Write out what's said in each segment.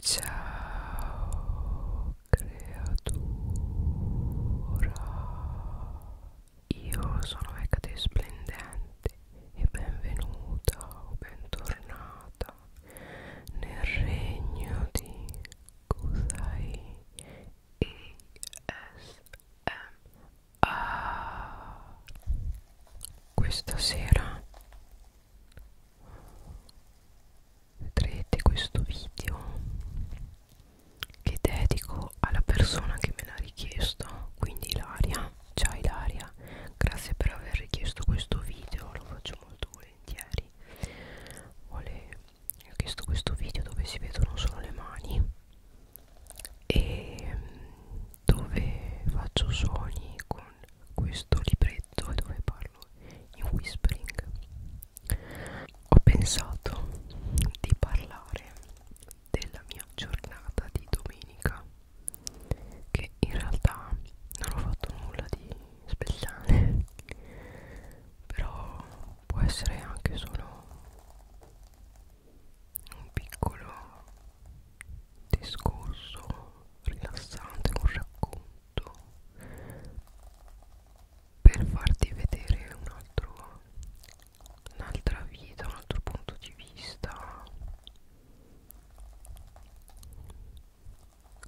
Ciao creatura, io sono Ecate Splendente e benvenuta o bentornata nel regno di Kusai ASMR Questa sera vedrete questo video che dedico alla persona che me l'ha richiesto quindi Ilaria ciao Ilaria grazie per aver richiesto questo video lo faccio molto volentieri Vuole... ho chiesto questo video dove si vedono solo le mani e mm, dove faccio suoni con questo libretto e dove parlo in whispering ho pensato di parlare della mia giornata di domenica che in realtà non ho fatto nulla di speciale però può essere anche solo un piccolo discorso rilassante un racconto tutto per farti vedere un altro un'altra vita un altro punto di vista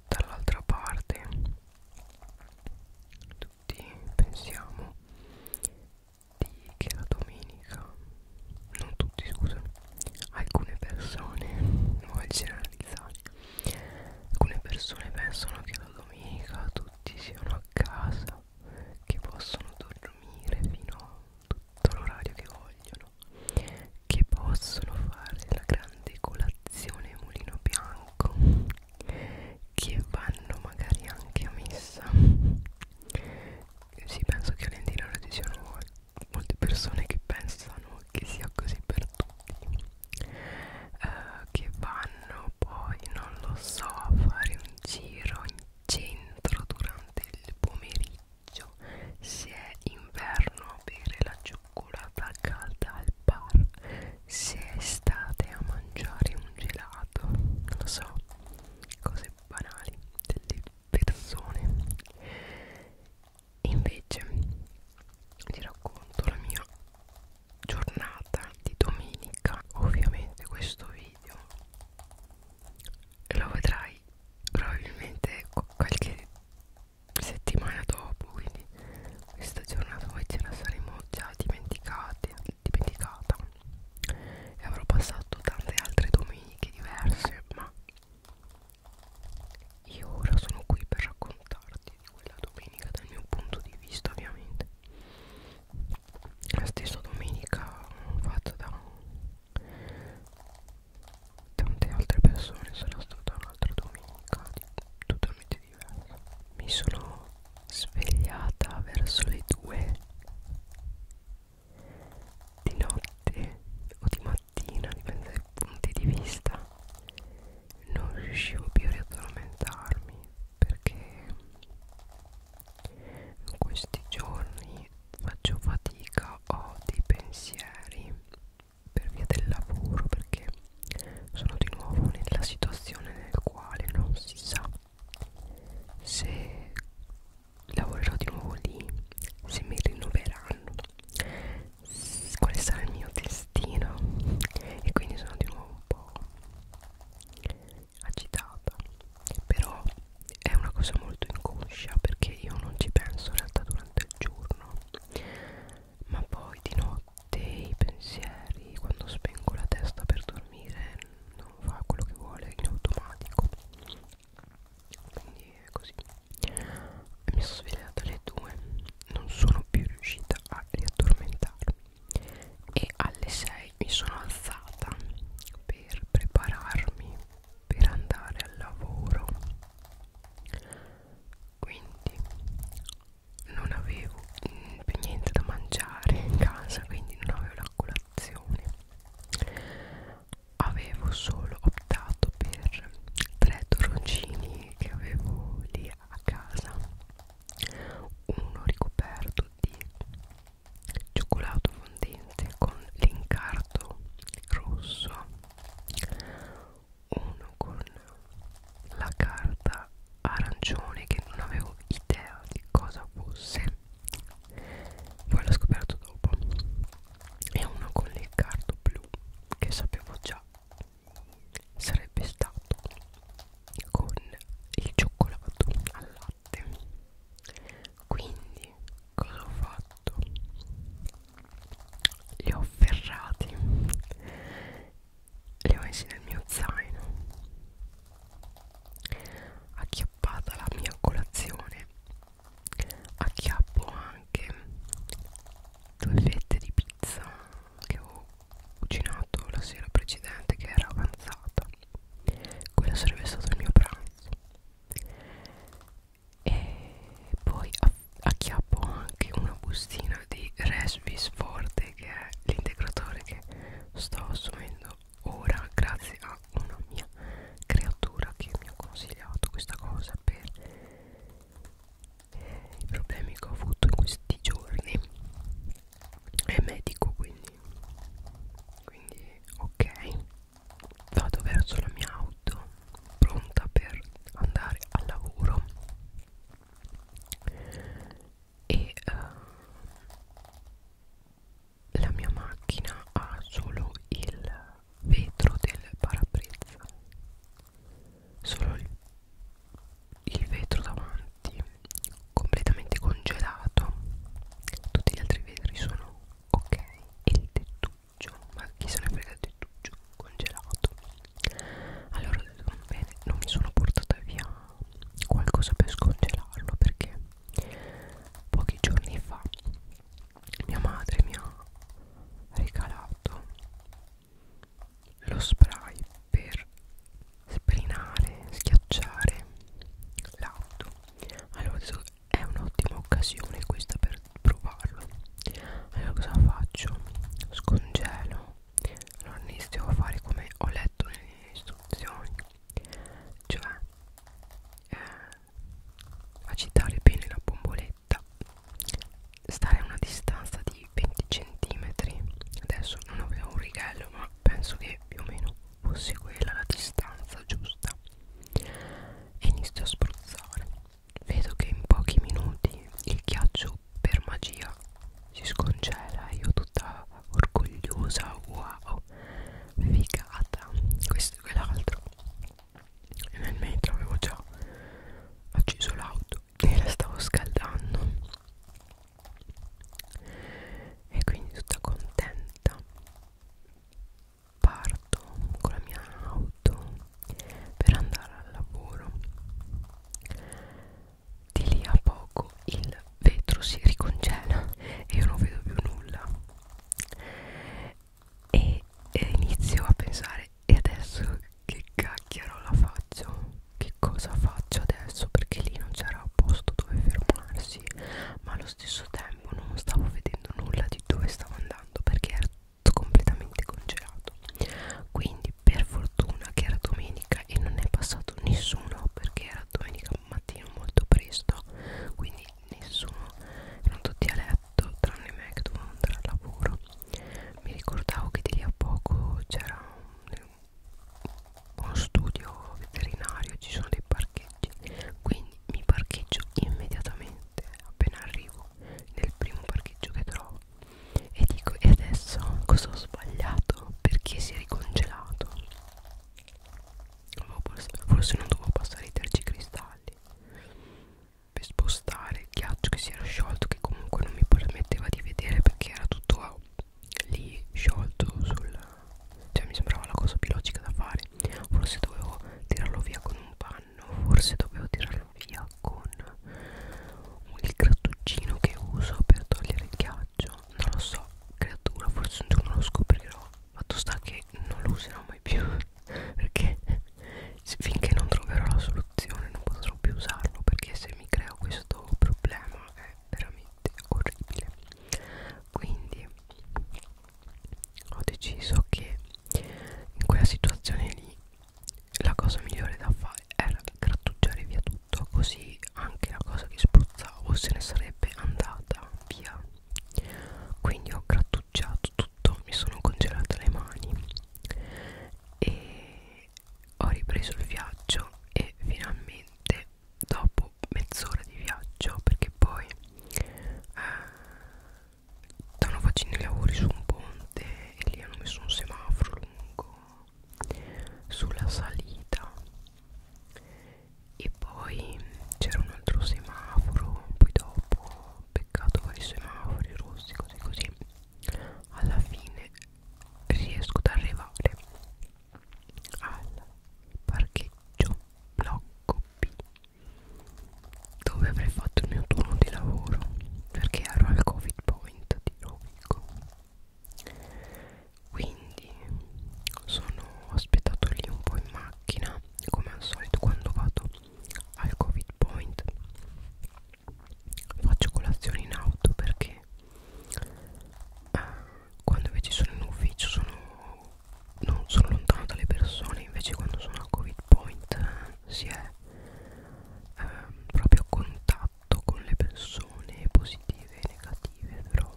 dall'altra parte tutti pensiamo di che la domenica non tutti scusami alcune persone non voglio generalizzare alcune persone pensano che la domenica tutti siano a casa che possono dormire fino a tutto l'orario che vogliono che possono fare la grande colazione mulino bianco che vanno magari anche a messa sì penso che Valentina lo diceva voi molte persone che pensano che sia così per tutti eh, che vanno poi non lo so a fare un giro in centro durante il pomeriggio se è inverno a bere la cioccolata calda al bar se è estate a mangiare un gelato non lo so cose banali delle persone invece ti racconto la mia giornata di domenica ovviamente questo video lo vedrai probabilmente ecco, qualche settimana dopo quindi questa giornata poi ce la saremo già dimenticata dimenticata e avrò passato tante altre domeniche diverse ma io ora sono qui per raccontarti di quella domenica dal mio punto di vista ovviamente La stessa domenica fatta da tante altre persone sarà stata un'altra domenica totalmente diversa Mi sono svegliata verso le due di notte o di mattina mattina, dipende dai punti di vista, non riuscivo più a riaddormentarmi perché in questi giorni faccio fatica, ho dei pensieri per via del lavoro perché sono di nuovo nella situazione nel quale non si sa se lavorerò di nuovo lì se mi rinnoveranno quale sarà il mio destino e quindi sono di nuovo un po' agitata però è una cosa molto inconscia perché io non ci penso in realtà durante il giorno ma poi di notte i pensieri quando spengo la testa per dormire non fa quello che vuole in automatico quindi è così mi sono svegliata alle 2, non sono più riuscita a riaddormentarmi e alle 6 mi sono alzata per prepararmi per andare al lavoro. Quindi non avevo mm, più niente da mangiare in casa, quindi non avevo la colazione avevo solo optato per tre torroncini che avevo lì a casa uno ricoperto di cioccolato fondente con l'incarto rosso uno con la carta arancione che non avevo idea di cosa fosse poi l'ho scoperto dopo e una con il cardo blu che sapevo già sarebbe stato con il cioccolato al latte quindi cosa ho fatto li ho ferrati li ho messi nel mio zaino acchiappata la mia colazione acchiappo anche due fette di pizza che ho cucinato la sera precedente che era avanzata quello sarebbe stato il mio pranzo e poi acchiappo anche una bustina di Resvis Forte che è l'integratore che sto assumendo ora grazie a da una mia creatura che mi ha consigliato questa cosa per eh, i problemi che ho avuto in questi giorni è medico quindi quindi ok vado verso la mia auto pronta per andare al lavoro e uh, la mia macchina ha solo il vetro del parabrezza solo il, il vetro davanti completamente congelato tutti gli altri vetri sono ok e il tettuccio ma chi se ne frega il tettuccio congelato allora ho detto bene non mi sono portata via qualcosa per scongelarlo perché pochi giorni fa mia madre mi ha regalato lo spray per sprinare, schiacciare l'auto allora adesso è un'ottima occasione questa per provarlo allora cosa faccio? scongelo allora inizio a fare come ho letto nelle istruzioni cioè eh, agitare bene la bomboletta stare a una distanza di 20 cm adesso non avevo un righello ma penso che più o meno fosse quella la distanza giusta e inizio a spruzzare vedo che in pochi minuti il ghiaccio per magia si scongela e io tutta orgogliosa wow figata questo e quell'altro e nel mentre avevo già acceso l'auto e la stavo scaldando e quindi tutta contenta parto con la mia auto per andare al lavoro di lì a poco il vetro si ricongela e io non vedo più nulla e, e inizio a pensare e adesso che cacchiaro la faccio che cosa faccio adesso perché lì non c'era posto dove fermarsi ma allo stesso tempo non stavo vedendo nulla di dove stavo andando perché era tutto completamente congelato quindi per fortuna che era domenica e non è passato nessuno perché era domenica mattino molto presto quindi nessuno erano tutti a letto tranne me che dovevo andare al lavoro mi ricordavo che di lì a poco c'era un, uno studio veterinario ci sono dei parcheggi quindi mi parcheggio immediatamente appena arrivo nel primo parcheggio che trovo e dico e adesso cosa ho sbagliato perché si è ricongelato forse non dovevo passare i terzi cristalli per spostare il ghiaccio che si era sciolto che comunque non mi permetteva di vedere perché era tutto lì sciolto sul cioè mi sembrava la cosa più logica da fare forse dovevo tirarlo via con un panno forse dovevo tirarlo via con il grattuccino che uso per togliere il ghiaccio non lo so creatura forse un giorno lo scoprirò fatto sta che non lo userò mai più perché finché non troverò la soluzione non potrò più usarlo perché se mi creo questo problema è veramente orribile quindi ho deciso che in quella situazione lì la cosa migliore da fare era grattugiare via tutto così anche la cosa che spruzzavo se ne sarebbe andata via quindi ho grattugiato tutto mi sono congelata le mani e ho ripreso il viaggio e finalmente dopo mezz'ora di viaggio perché poi eh, stanno facendo i lavori su un ponte e lì hanno messo un semaforo lungo sulla salita e poi c'era un altro semaforo poi dopo peccato vari semafori rossi così così alla fine riesco ad arrivare al parcheggio blocco B dove avrei fatto il mio turno di lavoro perché ero al covid point di Rovigo quindi sono aspettato lì un po' in macchina come al solito quando vado al covid point faccio colazione in auto perché eh, quando invece sono in ufficio sono, non sono lontano dalle persone invece quando sono al covid point eh, si è eh, proprio a contatto con le persone positive e negative però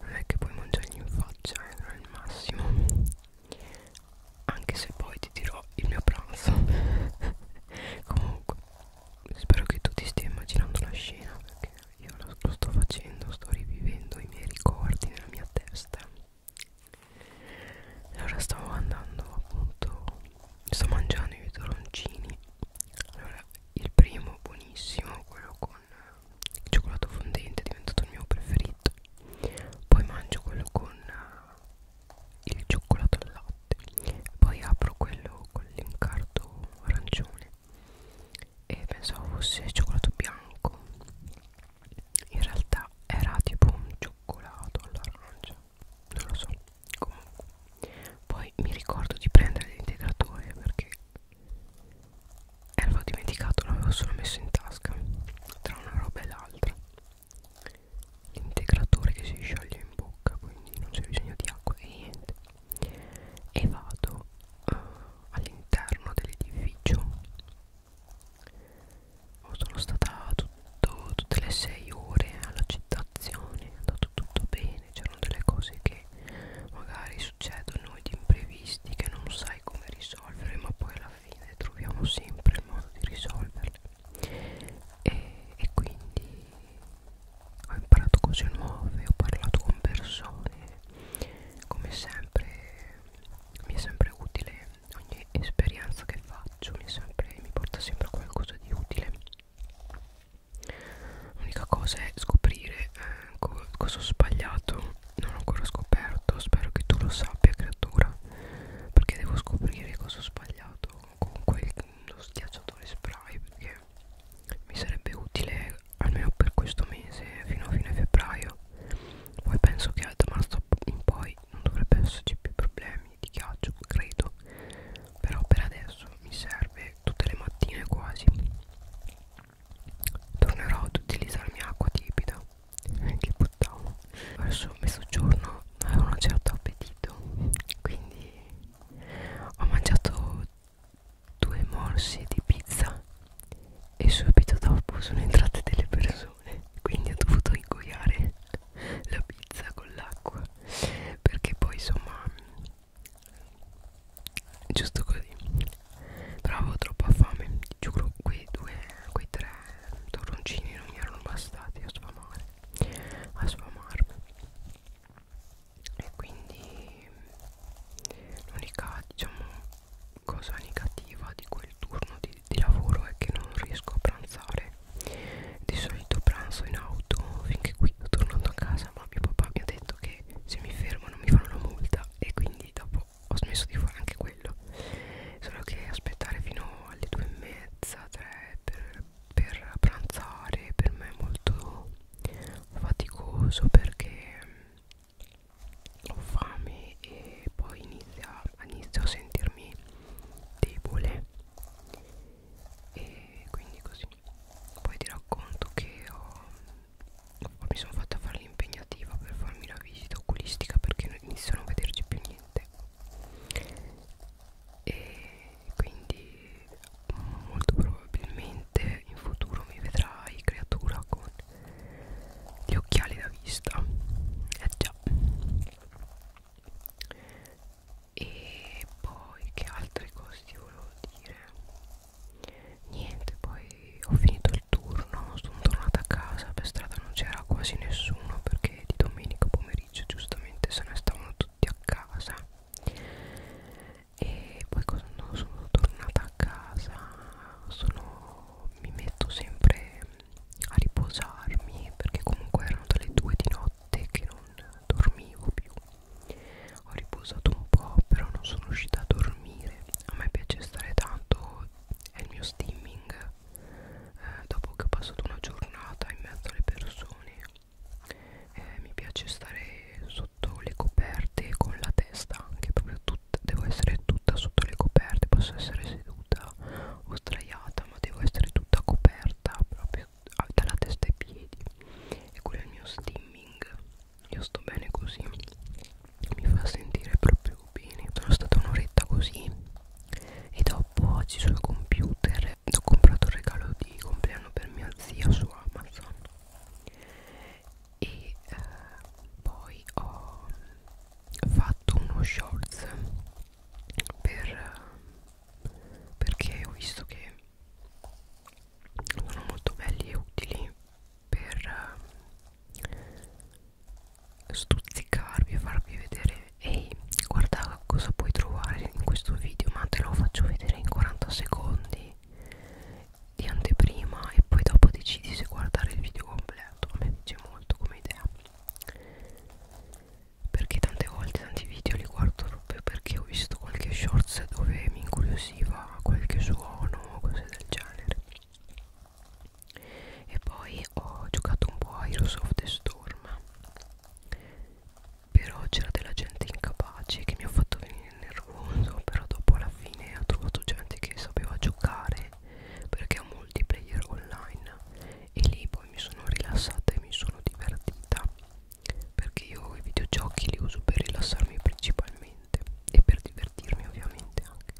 non è che puoi mangiargli in faccia eh, non è il massimo anche se poi ti dirò il mio pranzo comunque spero che tu ti stia immaginando la scena perché io lo, lo sto facendo sto rivivendo i miei ricordi nella mia testa allora stavo andando appunto sto mangiando i toroncini allora il primo buonissimo quello con con cioccolato fondente è diventato il mio preferito poi mangio quello con eh, il cioccolato al latte poi apro quello con l'incarto arancione e pensavo fosse cioccolato bianco in realtà era tipo un cioccolato all'arancia non lo so comunque poi mi ricordo di prendere l'integratore perché e l'avevo dimenticato, l'avevo solo messo in tasca tra una roba e l'altra l'integratore che si scioglie in bocca quindi non c'è bisogno di acqua e niente e vado uh, all'interno dell'edificio oh, sono stata tutto, tutte le 6 ore alla città ho andato tutto bene bene c'erano delle cose che magari succedono di imprevisti che non sai come risolvere ma poi alla fine troviamo sempre il modo di risolverle e, e quindi ho imparato cose nuove ho parlato con persone come sempre mi è sempre utile ogni esperienza che faccio mi, sempre, mi porta sempre a qualcosa di utile L'unica cosa è scoprire eh, co cosa ho sbagliato. Non ho ancora scoperto. Spero che tu lo sappia, creatura. Perché devo scoprire cosa ho sbagliato con quello schiacciatore spray. Perché mi sarebbe utile almeno per questo mese, fino a fine febbraio. Poi penso che da marzo in poi non dovrebbe esserci più problemi di ghiaccio, credo. Però per adesso mi serve tutte le mattine quasi tornerò ad utilizzarmi acqua tiepida che buttavo verso mezzogiorno avevo un certo appetito quindi ho mangiato due morsi di pizza e subito dopo sono entrate delle persone quindi ho dovuto ingoiare la pizza con l'acqua perché poi insomma giusto così però avevo troppa fame giuro quei due quei tre torroncini non mi erano bastati a sfamare a sfamarmi e quindi l'unica diciamo cosa negativa di quel turno di, di lavoro è che non riesco a pranzare di solito pranzo in auto finché quindi tornando a casa ma mio papà mi ha detto che se mi fermano mi fanno una multa e quindi dopo ho smesso di fare anche quello solo che aspettare fino alle due e mezza tre per, per pranzare per me è molto faticoso perché mm, ho fame e poi inizia, inizio a sentirmi debole e quindi così così poi ti racconto che ho, mi sono fatta fare l'impegnativa per farmi la visita oculistica perché inizio a non vederci più niente e quindi molto probabilmente in futuro mi vedrai creatura con gli occhiali da vista eh già e poi che altre cose ti volevo dire niente poi ho finito il turno sono tornata a casa per strada non c'era quasi nessuno perché di domenica pomeriggio giustamente se ne stavano tutti a casa e poi quando sono tornata a casa sono, mi metto sempre a riposarmi perché comunque erano dalle 2 di notte che non dormivo più ho riposato un po' però non sono riuscita a dormire a me piace stare tanto è il mio steaming eh, dopo che ho passato una giornata in mezzo alle persone eh, mi piace stare sotto le coperte con la testa anche proprio tutta devo essere tutta sotto le coperte posso essere seduta o straiata ma devo essere tutta coperta proprio ah, dalla testa ai piedi e quello è il mio steaming io sto bene così mi fa sentire proprio bene sono stata un'oretta così e dopo oggi sul computer ho comprato un regalo di compleanno per mia zia su Amazon e eh, poi ho fatto uno shorts per, eh, perché ho visto che sono molto belli e utili per eh, stuzzicarvi e farvi vedere ehi guarda cosa puoi trovare in questo video ma te lo faccio vedere in 40 secondi di anteprima e poi dopo decidi se guardare il video completo a me piace molto come idea perché tante volte tanti video li guardo proprio perché ho visto qualche shorts dove mi incuriosiva qualche suono o cose del genere e poi ho giocato un po' a Heroes of the Storm però c'era della gente incapace che mi ha fatto venire nervoso però dopo alla fine ho trovato gente che sapeva giocare perché è un multiplayer online e lì poi mi sono rilassata e mi sono divertita perché io i videogiochi li uso per rilassarmi principalmente e per divertirmi ovviamente anche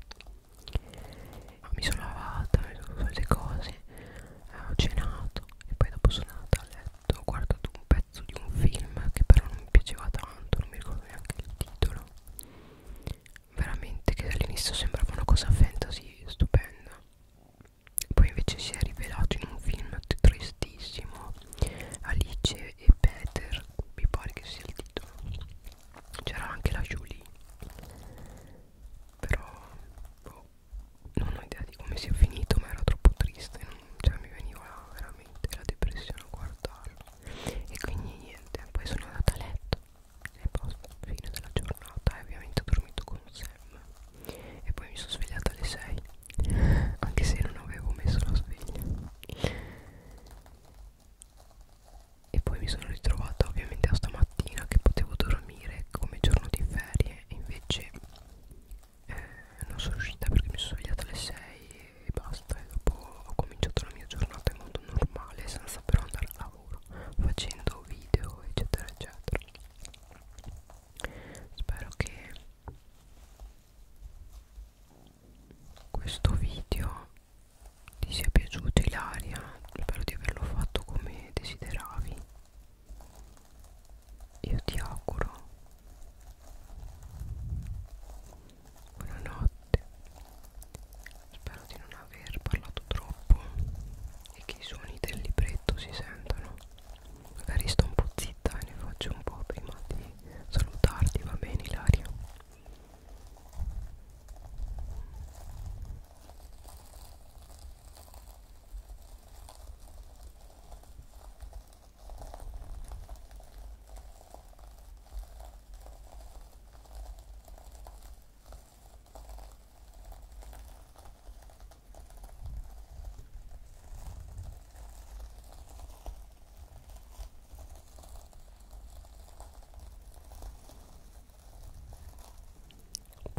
Ma mi sono lavata, mi sono fatto le cose, eh, ho cenato e poi dopo sono andata a letto ho guardato un pezzo di un film che però non mi piaceva tanto, non mi ricordo neanche il titolo veramente che all'inizio sembrava una cosa fantasy stupenda poi invece si è rivelato in un film tristissimo Alice e Peter mi pare che sia il titolo c'era anche la Julie però boh, non ho idea di come sia finito ma era troppo triste non, cioè mi veniva veramente la depressione a guardarlo e quindi niente poi sono andata a letto e poi fine della giornata e ovviamente ho dormito con serum e poi mi sono svegliata alle 6 anche se non avevo messo la sveglia e poi mi sono ritrovata ovviamente a stamattina che potevo dormire come giorno di ferie e invece eh, non sono riuscita perché mi sono svegliata alle 6 e basta e dopo ho cominciato la mia giornata in modo normale senza però andare al lavoro facendo video eccetera eccetera spero che questo video ti sia piaciuto Ilaria spero di averlo fatto come desideravi io ti auguro buonanotte spero di non aver parlato troppo e che i suoni del libretto si sentano magari sto un po' zitta scritta e eh, ne faccio un po' prima di salutarti, va bene Ilaria?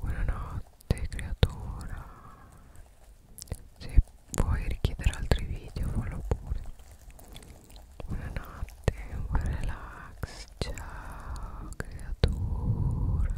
Buonanotte creatora Se vuoi richiedere altri video fallo pure Buonanotte, buon relax Ciao creatura